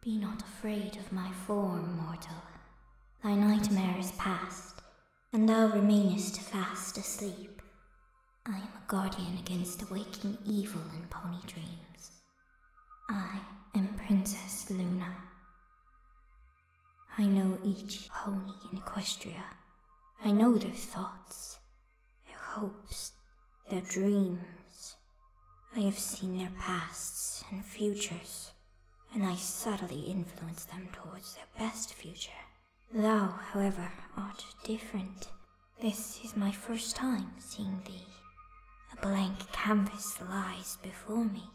Be not afraid of my form, mortal. Thy nightmare is past, and thou remainest fast asleep. I am a guardian against awaking evil in pony dreams. I am Princess Luna. I know each pony in Equestria. I know their thoughts, their hopes, their dreams. I have seen their pasts and futures, and I subtly influence them towards their best future. Thou, however, art different. This is my first time seeing thee. A blank canvas lies before me.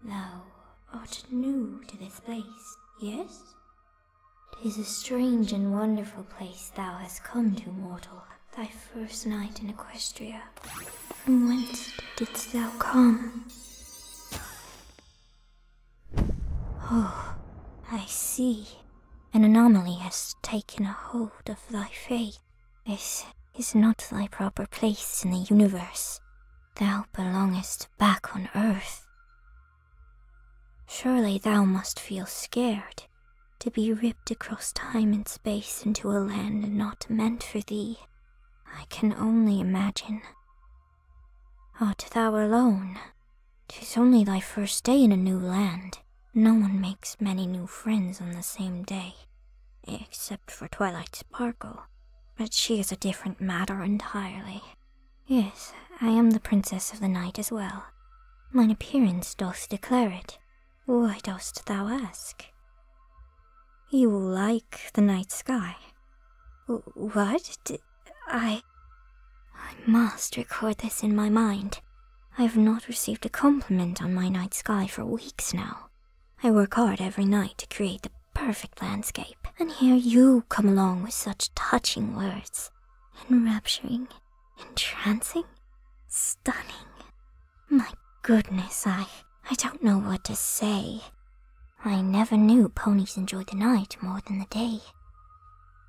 Thou art new to this place, Yes, 'tis a strange and wonderful place thou hast come to, mortal, thy first night in Equestria. From whence didst thou come? Oh, I see. An anomaly has taken a hold of thy faith. This is not thy proper place in the universe. Thou belongest back on Earth. Surely thou must feel scared to be ripped across time and space into a land not meant for thee. I can only imagine. Art thou alone, Tis only thy first day in a new land. No one makes many new friends on the same day, except for Twilight Sparkle, but she is a different matter entirely. Yes, I am the princess of the night as well. Mine appearance doth declare it. Why dost thou ask? You like the night sky. what? I. I must record this in my mind. I have not received a compliment on my night sky for weeks now. I work hard every night to create the perfect landscape, and here you come along with such touching words. Enrapturing, entrancing, stunning. My goodness, I. I don't know what to say. I never knew ponies enjoy the night more than the day.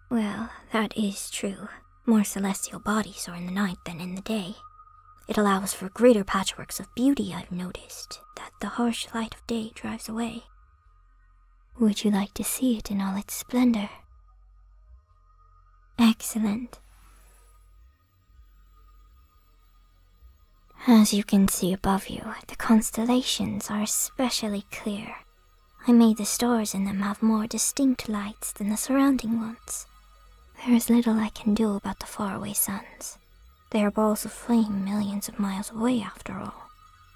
Well, that is true. More celestial bodies are in the night than in the day. It allows for greater patchworks of beauty, I've noticed, that the harsh light of day drives away. Would you like to see it in all its splendor? Excellent. As you can see above you, the constellations are especially clear. I made the stars in them have more distinct lights than the surrounding ones. There is little I can do about the faraway suns. They are balls of flame millions of miles away, after all.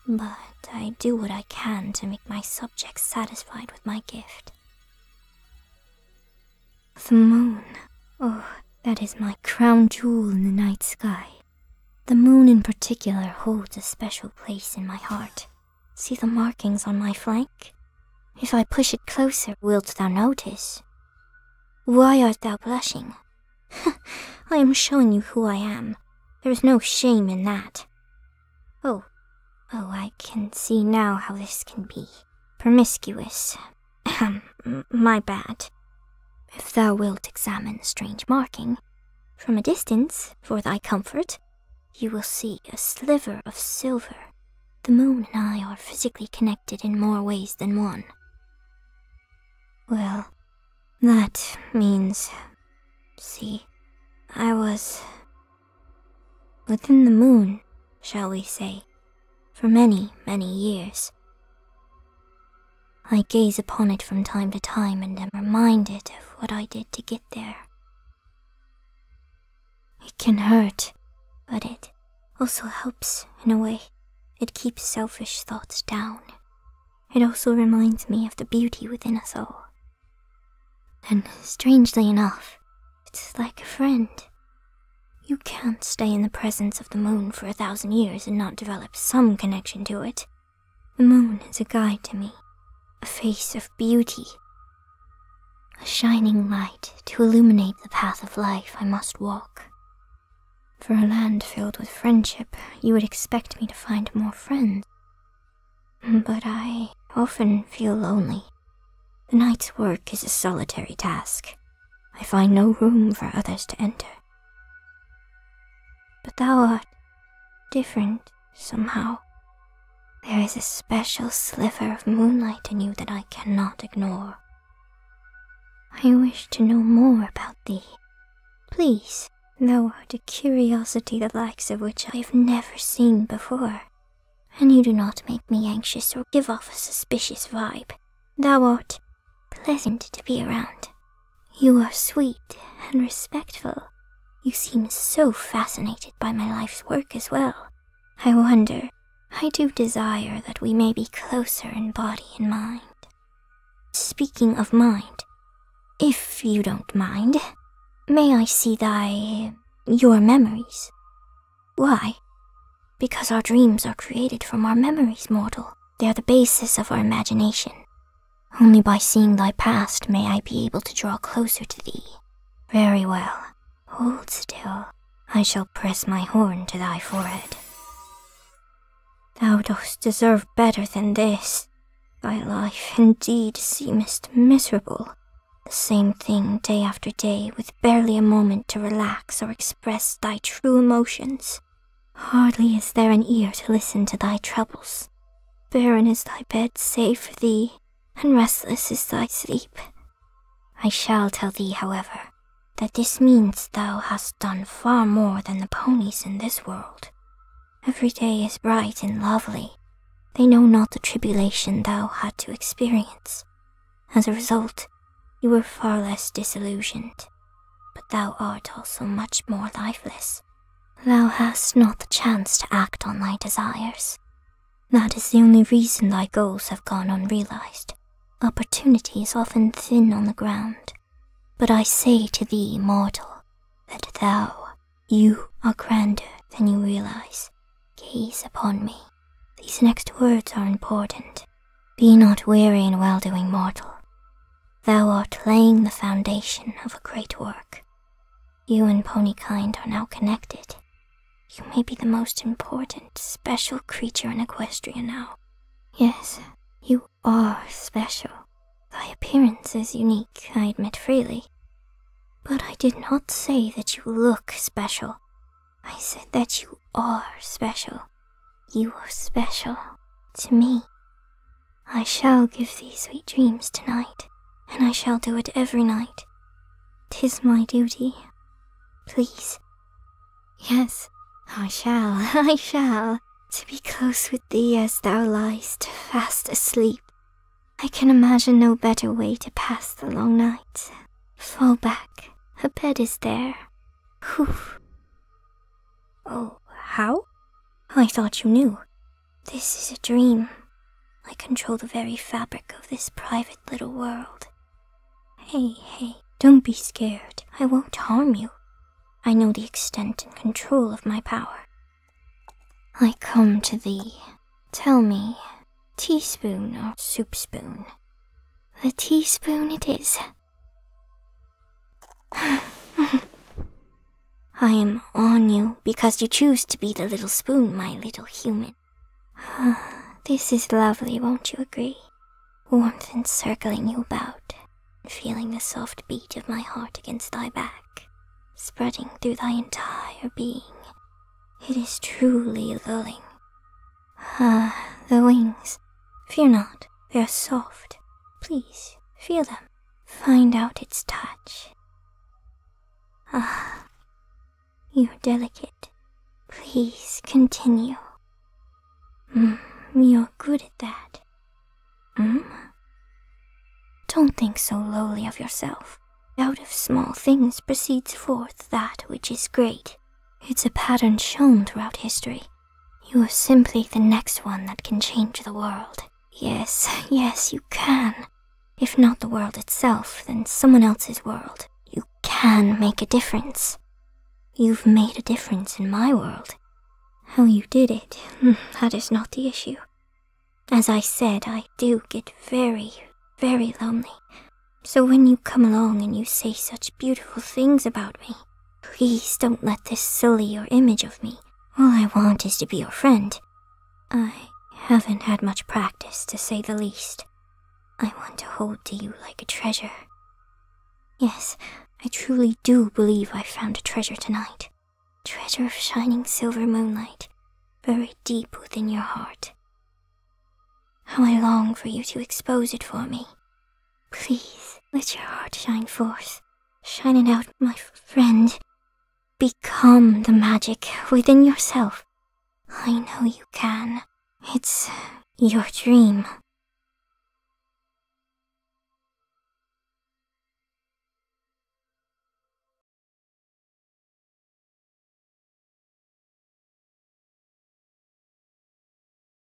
But I do what I can to make my subjects satisfied with my gift. The moon. Oh, that is my crown jewel in the night sky. The moon in particular holds a special place in my heart. See the markings on my flank? If I push it closer, wilt thou notice? Why art thou blushing? I am showing you who I am. There is no shame in that. Oh, oh, I can see now how this can be. Promiscuous. my bad. If thou wilt examine the strange marking, from a distance, for thy comfort, you will see a sliver of silver. The moon and I are physically connected in more ways than one. Well, that means. See, I was. within the moon, shall we say, for many, many years. I gaze upon it from time to time and am reminded of what I did to get there. It can hurt, but it also helps in a way. It keeps selfish thoughts down. It also reminds me of the beauty within us all. And strangely enough, it's like a friend. You can't stay in the presence of the moon for a thousand years and not develop some connection to it. The moon is a guide to me, a face of beauty, a shining light to illuminate the path of life I must walk. For a land filled with friendship, you would expect me to find more friends. But I often feel lonely. The night's work is a solitary task. I find no room for others to enter. But thou art different somehow. There is a special sliver of moonlight in you that I cannot ignore. I wish to know more about thee. Please, thou art a curiosity the likes of which I have never seen before, and you do not make me anxious or give off a suspicious vibe. Thou art pleasant to be around, you are sweet and respectful. You seem so fascinated by my life's work as well. I wonder, I do desire that we may be closer in body and mind. Speaking of mind, if you don't mind, may I see thy. your memories? Why? Because our dreams are created from our memories, mortal. They are the basis of our imagination. Only by seeing thy past may I be able to draw closer to thee. Very well. Hold still. I shall press my horn to thy forehead. Thou dost deserve better than this. Thy life indeed seemest miserable. The same thing day after day, with barely a moment to relax or express thy true emotions. Hardly is there an ear to listen to thy troubles. Barren is thy bed save for thee, and restless is thy sleep. I shall tell thee, however, that this means thou hast done far more than the ponies in this world. Every day is bright and lovely. They know not the tribulation thou had to experience. As a result, you were far less disillusioned. But thou art also much more lifeless. Thou hast not the chance to act on thy desires. That is the only reason thy goals have gone unrealized. Opportunity is often thin on the ground. But I say to thee, mortal, that thou, you are grander than you realize. Gaze upon me. These next words are important. Be not weary in well doing, mortal. Thou art laying the foundation of a great work. You and Ponykind are now connected. You may be the most important, special creature in Equestria now. Yes, you are special. Thy appearance is unique, I admit freely. But I did not say that you look special. I said that you are special. You are special to me. I shall give thee sweet dreams tonight, and I shall do it every night. Tis my duty. Please. Yes, I shall, I shall, to be close with thee as thou liest fast asleep. I can imagine no better way to pass the long night. Fall back, Her bed is there, Whew. Oh, how? I thought you knew. This is a dream. I control the very fabric of this private little world. Hey, hey, don't be scared. I won't harm you. I know the extent and control of my power. I come to thee. Tell me, teaspoon or soup spoon? The teaspoon it is. I am on you because you choose to be the little spoon, my little human. this is lovely, won't you agree? Warmth encircling you about, feeling the soft beat of my heart against thy back, spreading through thy entire being. It is truly lulling. Ah, the wings. Fear not, they are soft. Please, feel them. Find out its touch. Ah, you're delicate. Please continue. Mm, you're good at that. Mm? Don't think so lowly of yourself. Out of small things proceeds forth that which is great. It's a pattern shown throughout history. You are simply the next one that can change the world. Yes, yes, you can. If not the world itself, then someone else's world. You can make a difference. You've made a difference in my world. How you did it, that is not the issue. As I said, I do get very, very lonely. So when you come along and you say such beautiful things about me, Please don't let this sully your image of me. All I want is to be your friend. I haven't had much practice, to say the least. I want to hold to you like a treasure. Yes, I truly do believe I found a treasure tonight. Treasure of shining silver moonlight, buried deep within your heart. How I long for you to expose it for me, Please, let your heart shine forth, shining out, my friend. Become the magic within yourself. I know you can. It's your dream.